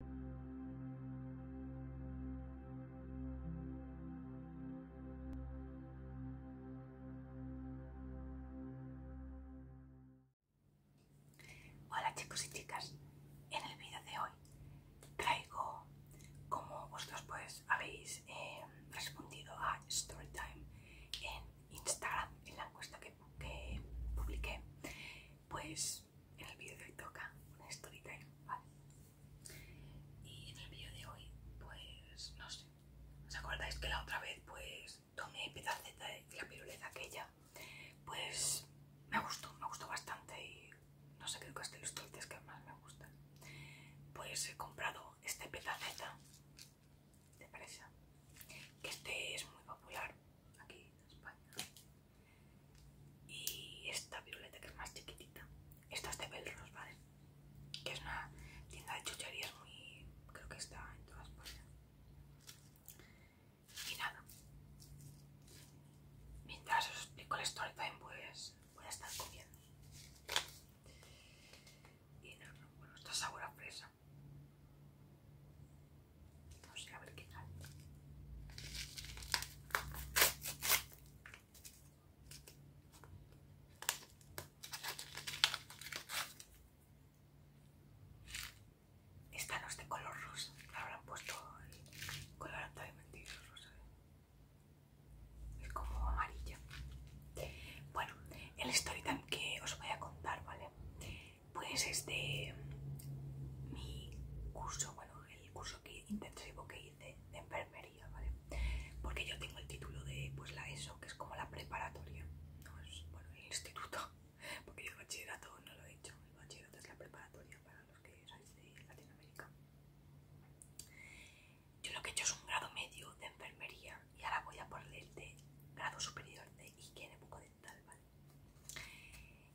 Hola chicos y chicas, en el vídeo de hoy traigo como vosotros pues habéis eh, respondido a Storytime en Instagram en la encuesta que, que publiqué pues en el vídeo de hoy toca una story ¿vale? Y en el vídeo de hoy, pues no sé. ¿Os acordáis que la otra vez pues tomé pedaceta y la piruleta aquella? Pues me gustó, me gustó bastante y no sé, creo que de los tuites que más me gustan. Pues he comprado este pedaceta de presa, que este es muy popular aquí en España y esta violeta que es más chiquitita esta es de Belros, ¿vale? que es una tienda de chucherías muy... creo que está en todas partes y nada mientras os explico la story pues voy a estar comiendo y nada, bueno, esta es sabor fresa no sé, a ver qué tal. Esta no es de color rosa, Ahora han puesto el color totalmente rosa. Es como amarilla. Bueno, el story que os voy a contar, ¿vale? pues este mi curso bueno el curso que intensivo que hice de enfermería vale porque yo tengo el título de pues, la ESO que es como la preparatoria no es bueno el instituto porque yo el bachillerato no lo he hecho el bachillerato es la preparatoria para los que salís de Latinoamérica yo lo que he hecho es un grado medio de enfermería y ahora voy a por el de grado superior de higiene bucodental, ¿vale?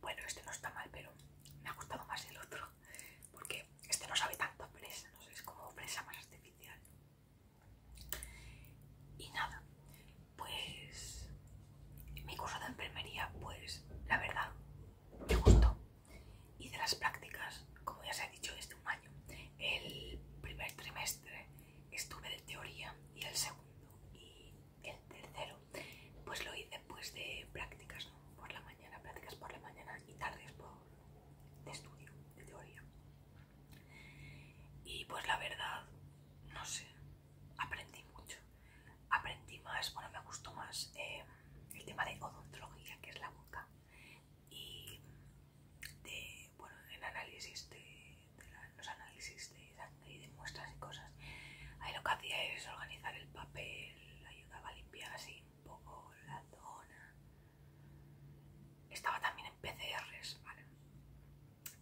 Bueno, este no está mal, pero me ha gustado más el otro. Porque este no sabe tanto a presa, no sé, es como presa más artificial. Y nada, pues mi curso de enfermería, pues la verdad, me gustó. Y de las prácticas, como ya se ha dicho, desde un año. El primer trimestre estuve de teoría y el segundo y el tercero pues lo hice pues de prácticas por la mañana prácticas por la mañana y tardes por de estudio de teoría y pues la verdad no sé aprendí mucho aprendí más bueno me gustó más eh, el tema de odontología que es la boca y de bueno en análisis de, los análisis de de muestras y cosas. Ahí lo que hacía es organizar el papel, ayudaba a limpiar así un poco la zona. Estaba también en PCRs, ¿vale?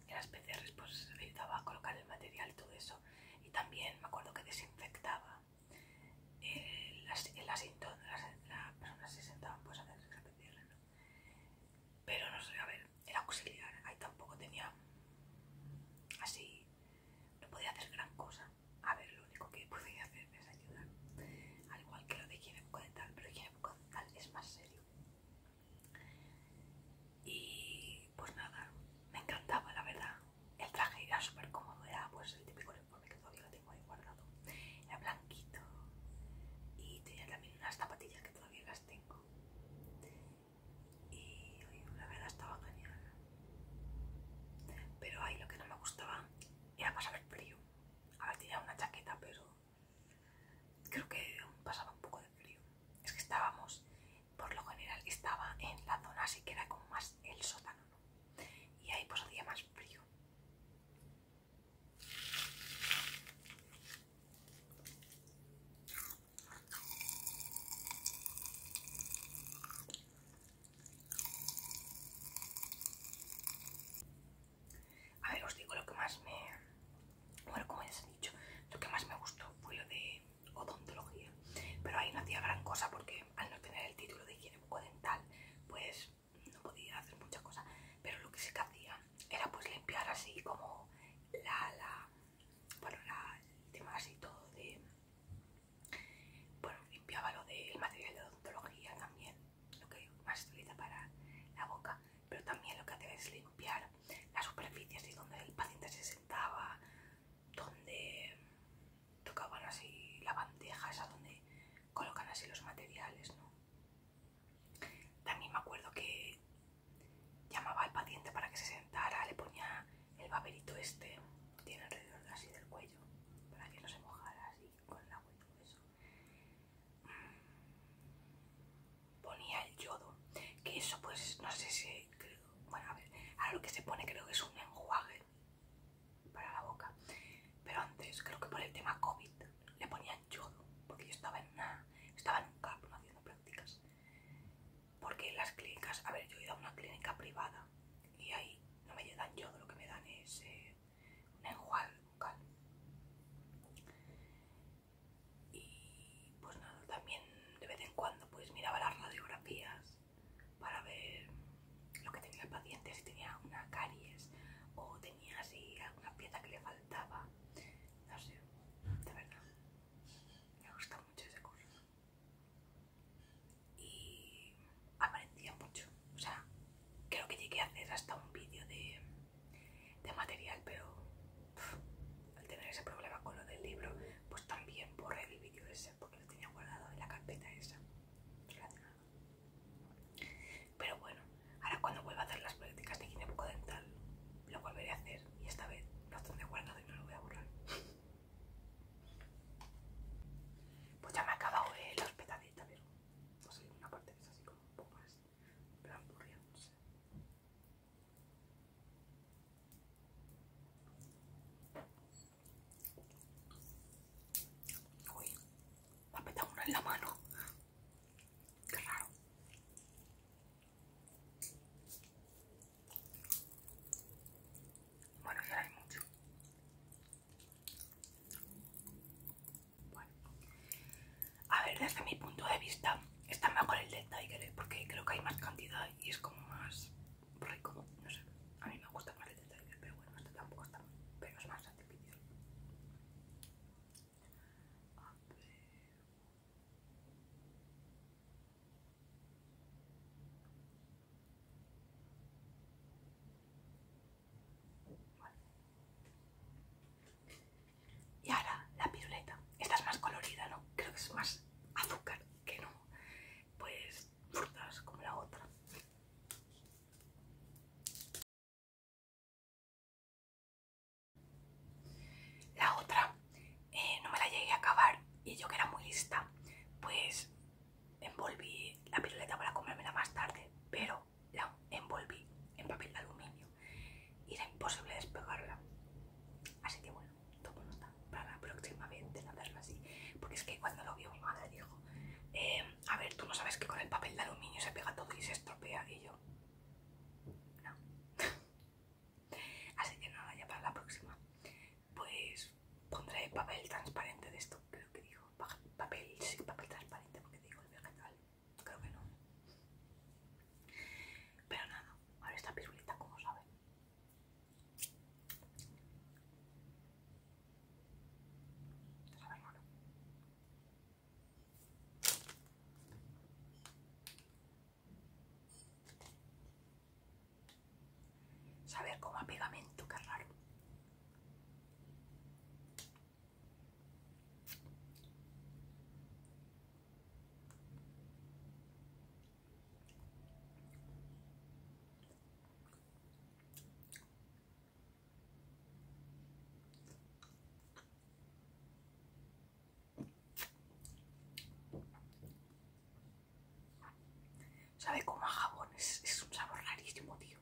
En las PCRs pues ayudaba a colocar el material y todo eso. Y también me acuerdo que desinfectaba. Eh, las, las, se sentaban pues a hacer la PCR, ¿no? Pero no sé, a ver, el auxiliar, ahí tampoco tenía así, no podía hacer gran cosa. A ver, lo único que podía hacer es ayudar. Al igual que lo de Kiev tal pero Kiev tal es más serio. Y pues nada, me encantaba la verdad. El traje era súper cómodo, era pues el típico uniforme que todavía lo tengo ahí guardado. Era blanquito y tenía también unas zapatillas que todavía las tengo y la verdad estaba genial. Pero ahí lo que no me gustaba era pasar el frío. A ver, tenía una chaqueta, pero creo que pasaba un poco de frío. Es que estábamos, por lo general, estaba en la zona así que era como más el sótano, Y ahí pues hacía más frío. A ver, os digo lo que más me... Bueno, como ya se ha dicho, lo que más me gustó fue lo de odontología. Pero ahí no hacía gran cosa porque al no tener el título de higiene bucodental, pues no podía hacer mucha cosa Pero lo que sí que hacía era pues limpiar así como la, la, bueno, el tema así todo de, bueno, limpiaba lo del material de odontología también, lo que más se utiliza para la boca, pero también lo que hacía es limpiar las superficies y donde el paciente se sentaba, donde tocaban así la bandeja, esa donde colocan así los materiales, ¿no? También me acuerdo que Llamaba al paciente para que se sentara, le ponía el baberito este, tiene alrededor así del cuello, para que no se mojara así con el agua y todo eso. Mm. Ponía el yodo, que eso pues no sé si creo, bueno a ver, ahora lo que se pone creo que es un enjuague para la boca, pero antes creo que por el tema COVID le ponían yodo, porque yo estaba en una, estaba en un cap haciendo prácticas porque las clínicas, a ver, yo he ido a una clínica privada y ahí no me dan yo lo que me dan es eh, un enjuague bucal. Y pues nada, también de vez en cuando pues miraba las radiografías para ver lo que tenía el paciente, si tenía una caries o tenía así alguna pieza que le faltaba. No sé, de verdad. Me gusta mucho ese curso. Y aparecía mucho. O sea, creo que llegué a hacer hasta un vídeo de, material, pero al tener ese problema con lo del libro, pues también borré el vídeo ese porque lo tenía guardado en la carpeta esa. Pero bueno, ahora cuando vuelva a hacer las prácticas de dental lo volveré a hacer y esta vez bastante tendré guardado y no lo voy a borrar. Pues ya me ha acabado eh, los pero no sé, una parte de es así como un poco más, pero no Uy, me ha petado una en la mano. Qué raro. Bueno, ya hay mucho. Bueno. A ver, desde mi punto de vista, está mejor el de ¿eh? porque creo que hay más cantidad y es como más rico. No sé, a mí me gusta más el de pero bueno, este tampoco está mal, pero es más artificial. A ver. Y ahora la piruleta. Esta es más colorida, ¿no? Creo que es más azúcar que no, pues frutas como la otra. La otra eh, no me la llegué a acabar y yo que era muy lista, pues envolví la piruleta para comérmela más tarde, pero la envolví en papel de aluminio y era imposible despegarla. Así que bueno, tomo nota para la próxima vez de no hacerlo así, porque es que cuando lo vio mi madre dijo, eh, a ver, tú no sabes que con el papel de aluminio se pega todo y se estropea y yo... No. Así que nada, ya para la próxima. Pues pondré papel transparente de esto, creo que digo, Papel, sí, papel transparente, porque digo el tal Creo que no. Pero nada, ahora esta pirulita, como sabe Saber cómo a pegamento, qué raro. Sabe como a jabón, es, un sabor rarísimo, tío.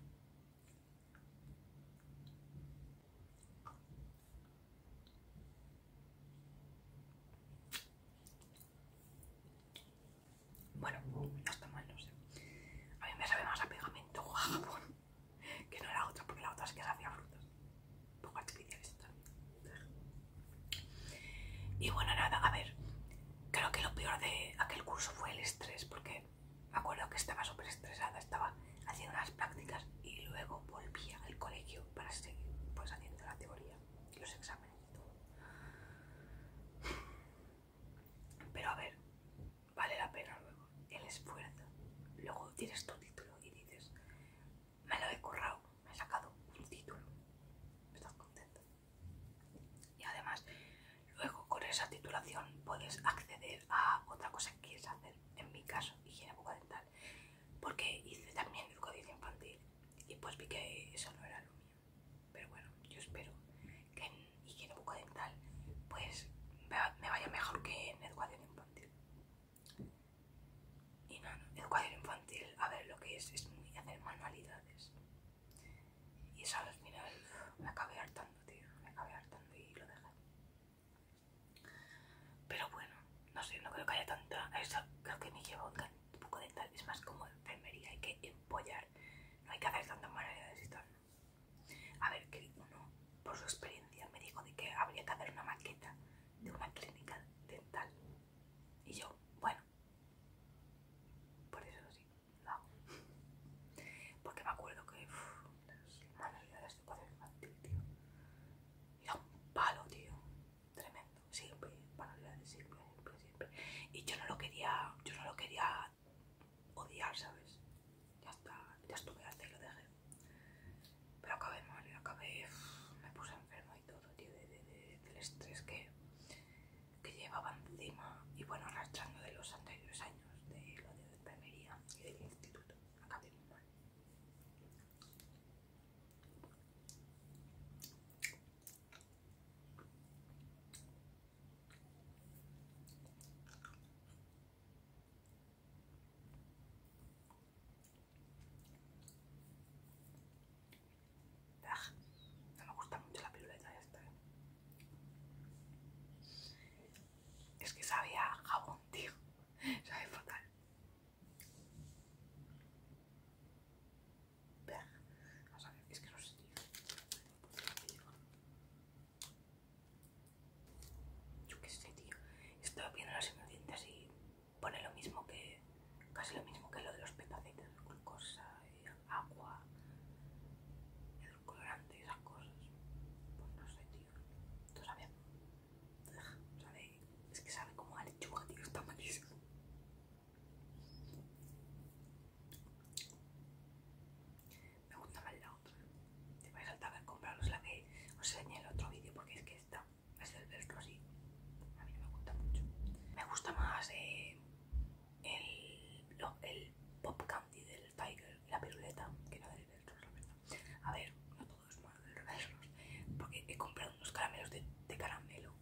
Bueno, no está mal, no sé. A mí me sabe más a pegamento o a jabón. que no era otra, porque la otra sí que hacía frutas, un poco artificiales también. Y bueno, nada, a ver, creo que lo peor de aquel curso fue el estrés, porque me acuerdo que estaba súper estresada, estaba haciendo unas prácticas y luego volvía al colegio para seguir pues, haciendo la teoría y los exámenes y todo. Pero a ver, vale la pena luego el esfuerzo. Luego tienes tu título y dices, me lo he currado, me he sacado un título. Estás contento. Y además, luego con esa titulación puedes acceder a otra cosa que quieres hacer. En mi caso, higiene dental Porque hice también educación infantil y pues vi que eso no era lo mío. Pero bueno, yo espero que en higiene dental pues me vaya mejor que en educación infantil. Y nada, educación infantil, a ver lo que es, es muy hacer manualidades. Y eso al final me acabé hartando, tío, me acabé hartando y lo dejé. Pero bueno, no sé, no creo que haya tanta. Eso creo que me lleva un, poco de tal, es más como enfermería, hay que empollar, no hay que hacer tantas manualidades y tal. A ver, que uno, por su experiencia, me dijo de que habría que hacer una maqueta de una clínica dental. Y yo, bueno, por eso sí, lo hago. Porque me acuerdo que las manualidades de padre infantil, tío, era un palo, tío, tremendo. Siempre, siempre, siempre, siempre. Y yo no lo quería, yo no lo quería odiar, ¿sabes? ya está, ya estuve antes, lo dejé. Pero acabé mal, acabé, me puse enfermo y todo, del estrés que, que llevaba encima y bueno, arrastrando de los anteriores años de lo de enfermería y del instituto. Acabé muy mal. Ah, no me gusta mucho la piruleta esta. ¿eh? Es que sabía jabón, tío. Sabe fatal. Vamos a ver, es que no sé, tío. Yo qué sé, tío. Estoy viendo los ingredientes y pone lo mismo que. casi lo mismo que lo de los petacetas, glucosa, y agua, colorante y esas cosas. Pues no sé, tío. ¿Tú sabes? es que sabe como a lechuga, tío. Está malísimo me gusta más la otra. Te vais a faltar compraros la que os enseñé en el otro vídeo porque es que esta es del verso así. A mí no me gusta mucho. Me gusta más eh, el, lo, el pop candy del Tiger, la piruleta, que no del verso, la verdad. A ver, no todo es malo del porque he comprado unos caramelos de, de caramelo.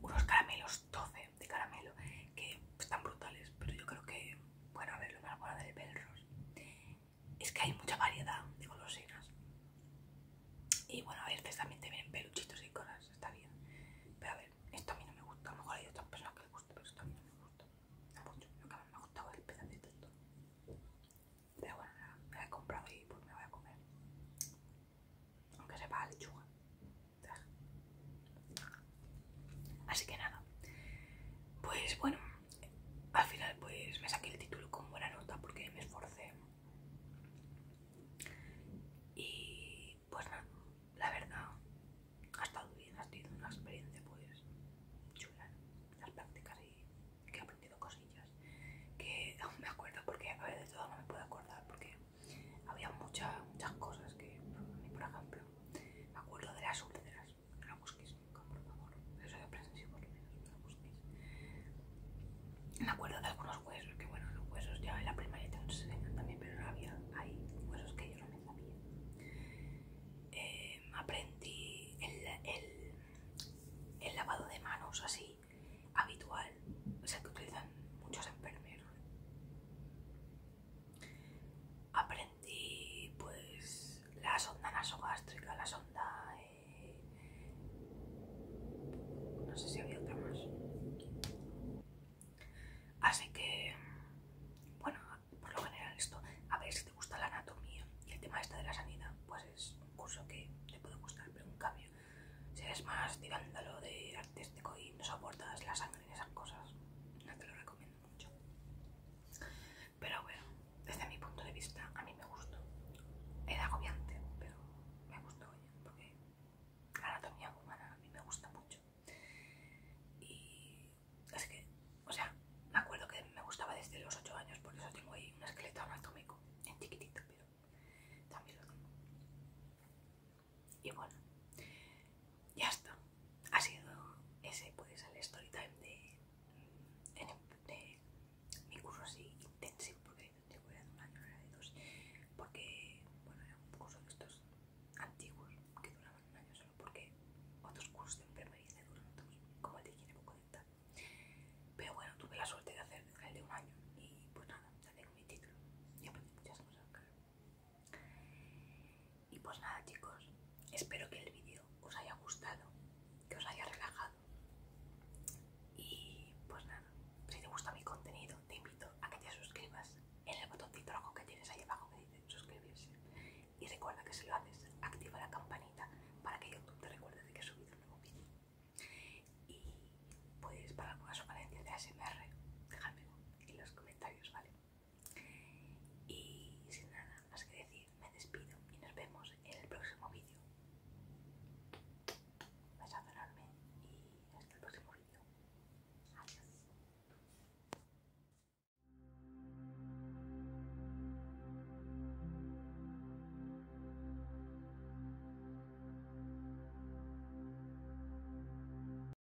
Unos caramelos 12 de caramelo que están brutales, pero yo creo que bueno, a ver, lo de bueno del Belros es que hay mucha variedad de colosinas. Y bueno, a veces también te vienen peluchitos y cosas, está bien. Pero a ver, esto a mí no me gusta. A lo mejor hay otras personas que les gusta, pero esto a mí no me gusta. No mucho. Lo me ha gustado el pedacito esto. Pero bueno, me he comprado y pues me voy a comer. Aunque sepa la lechuga. Así que nada, pues bueno, al final pues me saqué el título con buena nota porque me esforcé. Y pues nada, la verdad, ha estado bien, ha sido una experiencia pues chula, las prácticas y que he aprendido cosillas que aún me acuerdo porque a ver de todo no me puedo acordar porque había muchas muchas cosas que a mí por ejemplo me acuerdo de las úlceras no la por favor. Eso de menos, no la Me acuerdo de algunos huesos, que bueno, los huesos ya en la primaria te también, pero había Hay huesos que yo no me sabía. Eh, aprendí el lavado de manos así, habitual, o sea que utilizan muchos enfermeros. Aprendí pues la sonda nasogástrica, la sonda... Eh, no sé si había otra más. Así que, bueno, por lo general esto, a ver si te gusta la anatomía y el tema este de la sanidad, pues es un curso que te puede gustar, pero en cambio, si eres más tirándolo de artístico y no soportas la sangre y esas cosas, no te lo recomiendo mucho. Pero bueno, desde mi punto de vista, a mí me gustó. Era agobiante, pero me gustó porque anatomía humana a mí me gusta mucho. Y es que, o sea, me acuerdo que me gustaba desde los 8 años, por eso tengo ahí un esqueleto anatómico en chiquitito, pero también lo tengo. Y bueno, ya está. Ha sido ese, puede ser el story time de, mi curso así intensivo, porque yo era de un año, era de dos, porque bueno, era un curso de estos antiguos que duraban un año solo, porque otros cursos de enfermería duran también, como el de poco Pero bueno, tuve la suerte de hacer el de un año y pues nada, ya tengo mi título y aprendí muchas cosas, y pues nada chicos, espero que el vídeo os haya gustado, que os haya relajado. Y pues nada, si te gusta mi contenido te invito a que te suscribas en el botoncito rojo que tienes ahí abajo que dice suscribirse. Y recuerda que si lo haces, activa la campanita para que YouTube te recuerde de que he subido un nuevo vídeo. Y puedes para alguna sugerencia de ASMR, dejármelo en los comentarios, ¿vale? Y sin nada más que decir, me despido y nos vemos en el próximo vídeo. a y hasta el próximo vídeo. Adiós.